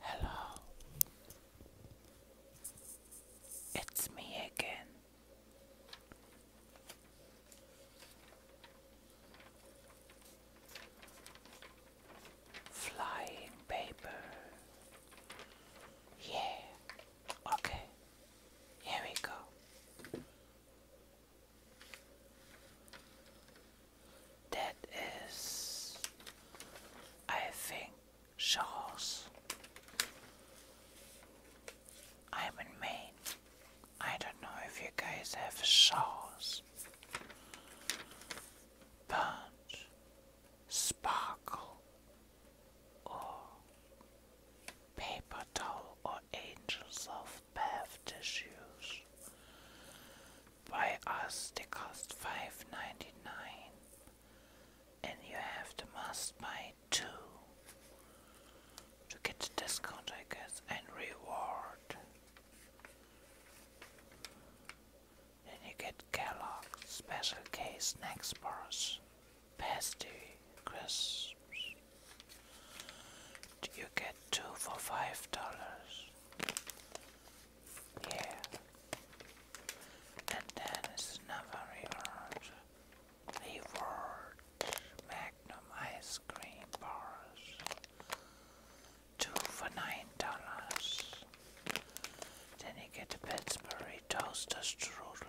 Hello, it's me again. Flying paper. Yeah, okay, here we go. That is, I think, shawls. I'm in Maine. I don't know if you guys have shawls, but sparkle or paper towel or angels of bath tissues. By us they cost five ninety nine and you have to must buy two to get the discount I guess and reward. Then you get Kellogg's Special case Snacks Bars, Pasty, Crisp, you get two for five dollars. Yeah. And then it's another reward. Reward. Magnum ice cream bars. Two for nine dollars. Then you get a toaster strudel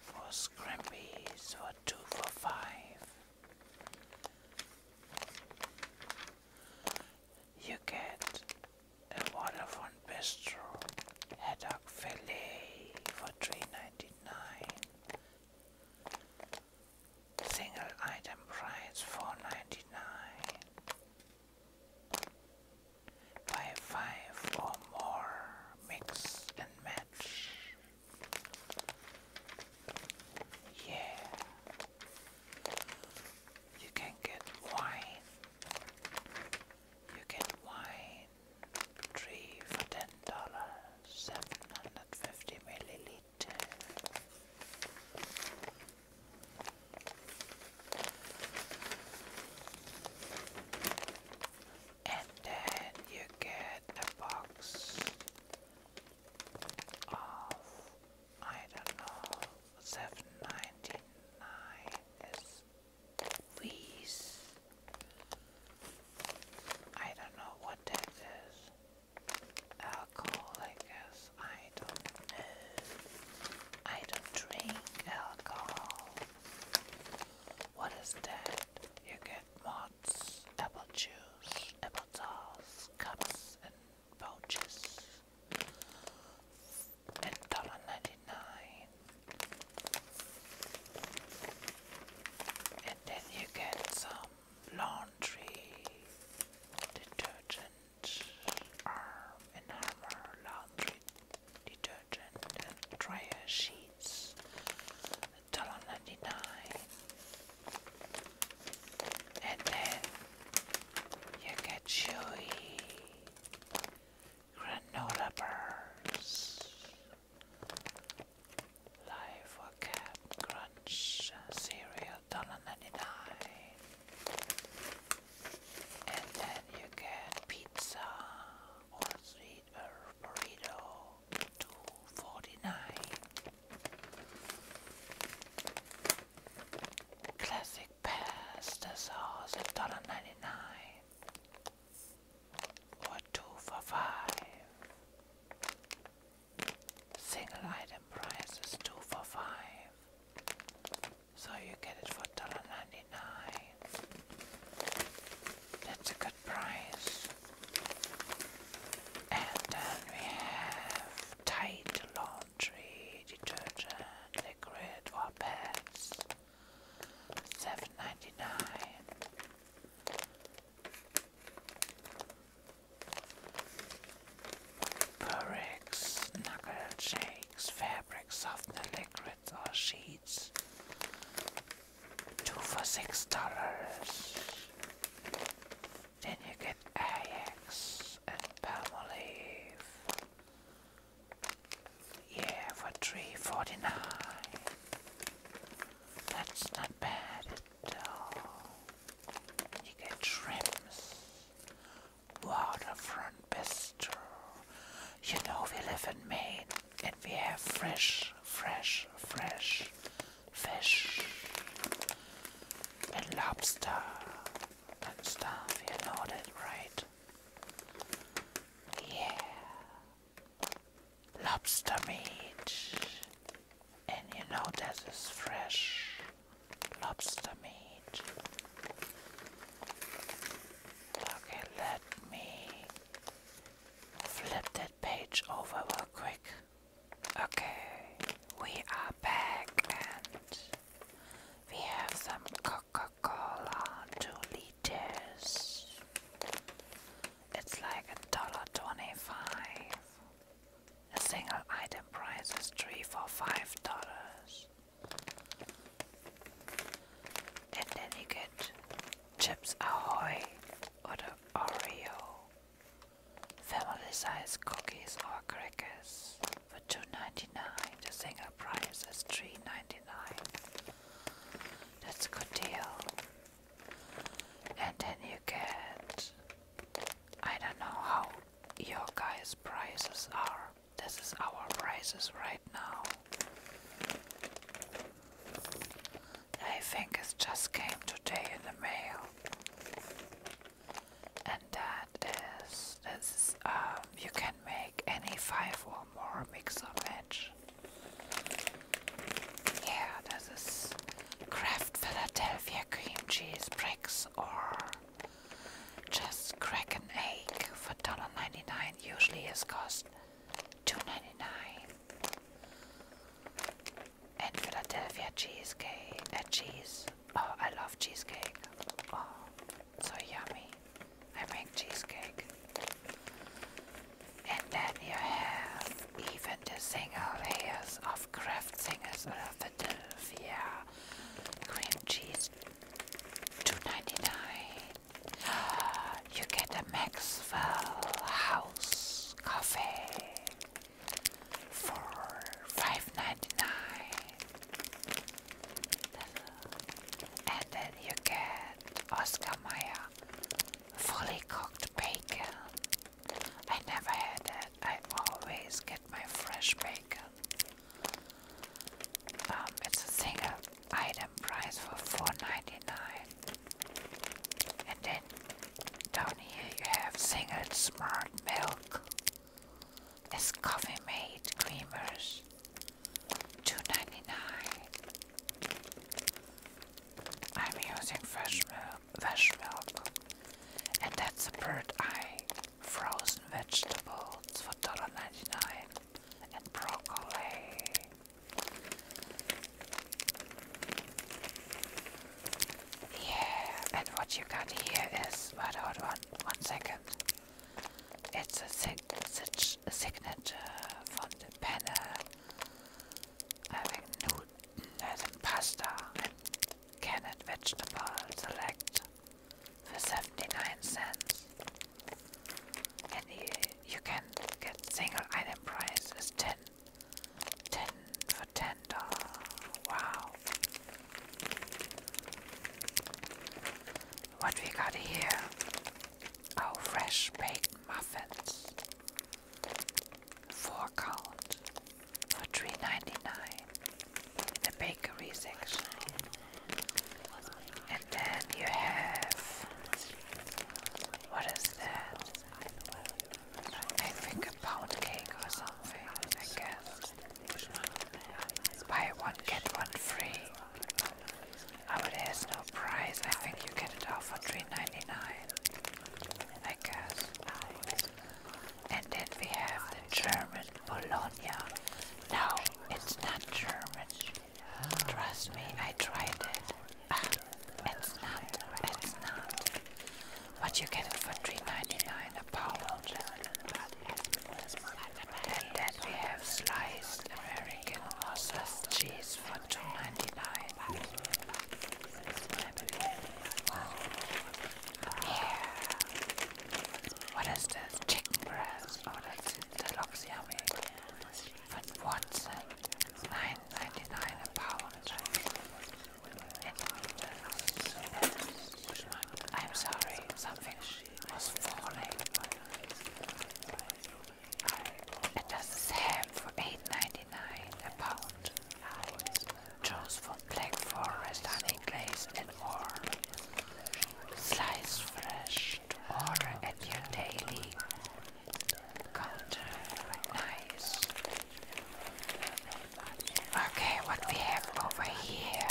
for scrimpies for two for five. You get a waterfront bistro haddock fillet for three ninety nine. Single item price four ninety nine. Buy five or more, mix and match. Yeah. You can get wine. You can wine. Three for ten dollars. Seven hundred fifty milliliter and then you get a box of I don't know seven ninety nine is I don't know what that is alcohol I guess I don't know I don't drink alcohol what is that? You get mods, apple juice, apple sauce, cups, and pouches. And $1.99. And then you get some laundry detergent, arm and hammer laundry detergent and dryer sheets. $1.99. And then you get chewy granola bars. Life or Cap Crunch cereal, $1.99. And then you get pizza or sweet burrito, two forty nine. Classic pasta sauce dollar ninety nine. Or two for five. Single item price is two for five. So you get it for dollar $1.99. That's a good price. And then we have Tide laundry detergent liquid for pads. Seven ninety nine. Purex knuckle shakes, fabric softener liquids or sheets. Two for six dollars. Then you get Ajax and Palmolive. Yeah, for three forty nine. That's not bad at all. You get shrimps, waterfront biscuits. You know, we live in Maine and we have fresh, fresh, fresh fish and lobster and stuff. You know that, right? Yeah. Lobster meat. And you know, this is fresh lobster meat. Okay, let me Flip that page over real quick. Okay, we are back and we have some Coca Cola, 2 liters. It's like a dollar twenty-five. A single item price is three for five dollars. And then you get Chips Ahoy or the Oreo. Family size cookies or crackers for $2.99. The single price is $3.99. That's a good deal. And then you get I don't know how your guys' prices are. This is our prices right now. I think it just came today in the mail. And that is, um, you can make any five or more mix of match. Yeah, this is Kraft Philadelphia cream cheese bricks or just crack an egg for $1.99 usually is cost Two ninety nine, And Philadelphia cheesecake, uh, cheese. Oh, I love cheesecake. Oh, so yummy. I make cheesecake. And then you have even the single layers of Kraft Singers of Philadelphia cream cheese. Two ninety nine. You get a Maxwell House coffee for five ninety nine, and then you get Oscar Mayer fully cooked bacon. I never had it. I always get my fresh bacon. Um, it's a single item price for $4.99. And then down here you have single smart milk. It's coffee made creamers. $2.99. I'm using fresh milk, fresh milk. And that's a bird eye. Frozen vegetables for $1.99 and broccoli. Yeah, and what you got here is but hold on one second. It's a, sig signature from the panel. Having Newton as pasta and canned vegetable select for 79 cents. And you, can get single item price is 10, 10 for $10. Wow. What we got here? Oh, fresh baked muffins. Four count for three ninety-nine in the bakery section. And then you have what is that? I think a pound cake or something, I guess. Buy one, get one free. Oh, it has no price. I think you get it out for three ninety nine. I guess. And then we have German Bologna. No, it's not German. Trust me, I tried it. Ah, it's not, it's not. But you get it for $3.99 a pound. And then we have sliced American or cheese for $2.99. What is this? Chicken breast? Oh, that's the luxury von Watson, 9.99 I'm sorry, something was falling. And das ham for 8.99 a pound. Choose from black forest, honey glaze and more. Slice fresh. Washed at your daily counter. Okay, what we have over here.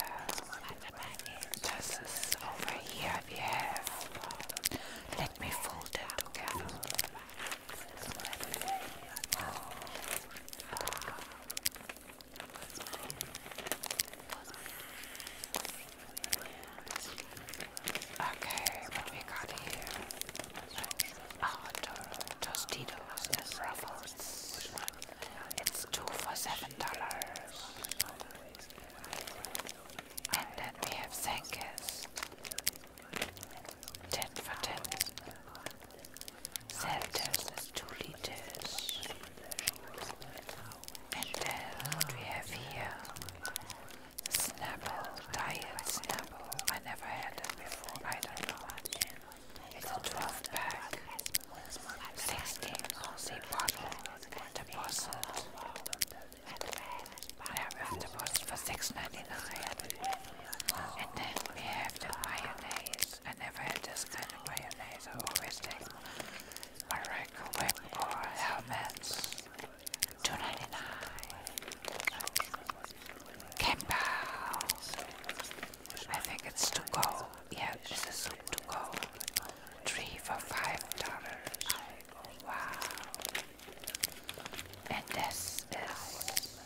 This is over here we have. Let me fold it together. Okay, what we got here? Oh, Tostitos and Ruffles. It's two for seven dollars. And then we have Senkis. Ten for ten. Selters is two liters. And then what we have here, Snapple, diet Snapple. I never had it before, I don't know. It's a 12 pack, 16 ounce bottle, deposit. Yeah, we have deposit for $6.99. And then we have the mayonnaise. I never had this kind of mayonnaise, I always take microwave or helmets. Two ninety nine. Campbell's. I think it's to go. Yeah, this is to go. Three for five dollars. Wow. And this is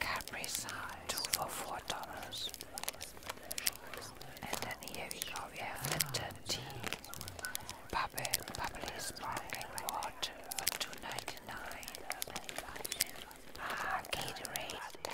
Capri Sun. Two for four dollars. And then here we go, we have the tea bubble, sparkling water for two ninety nine. Ah, Gatorade.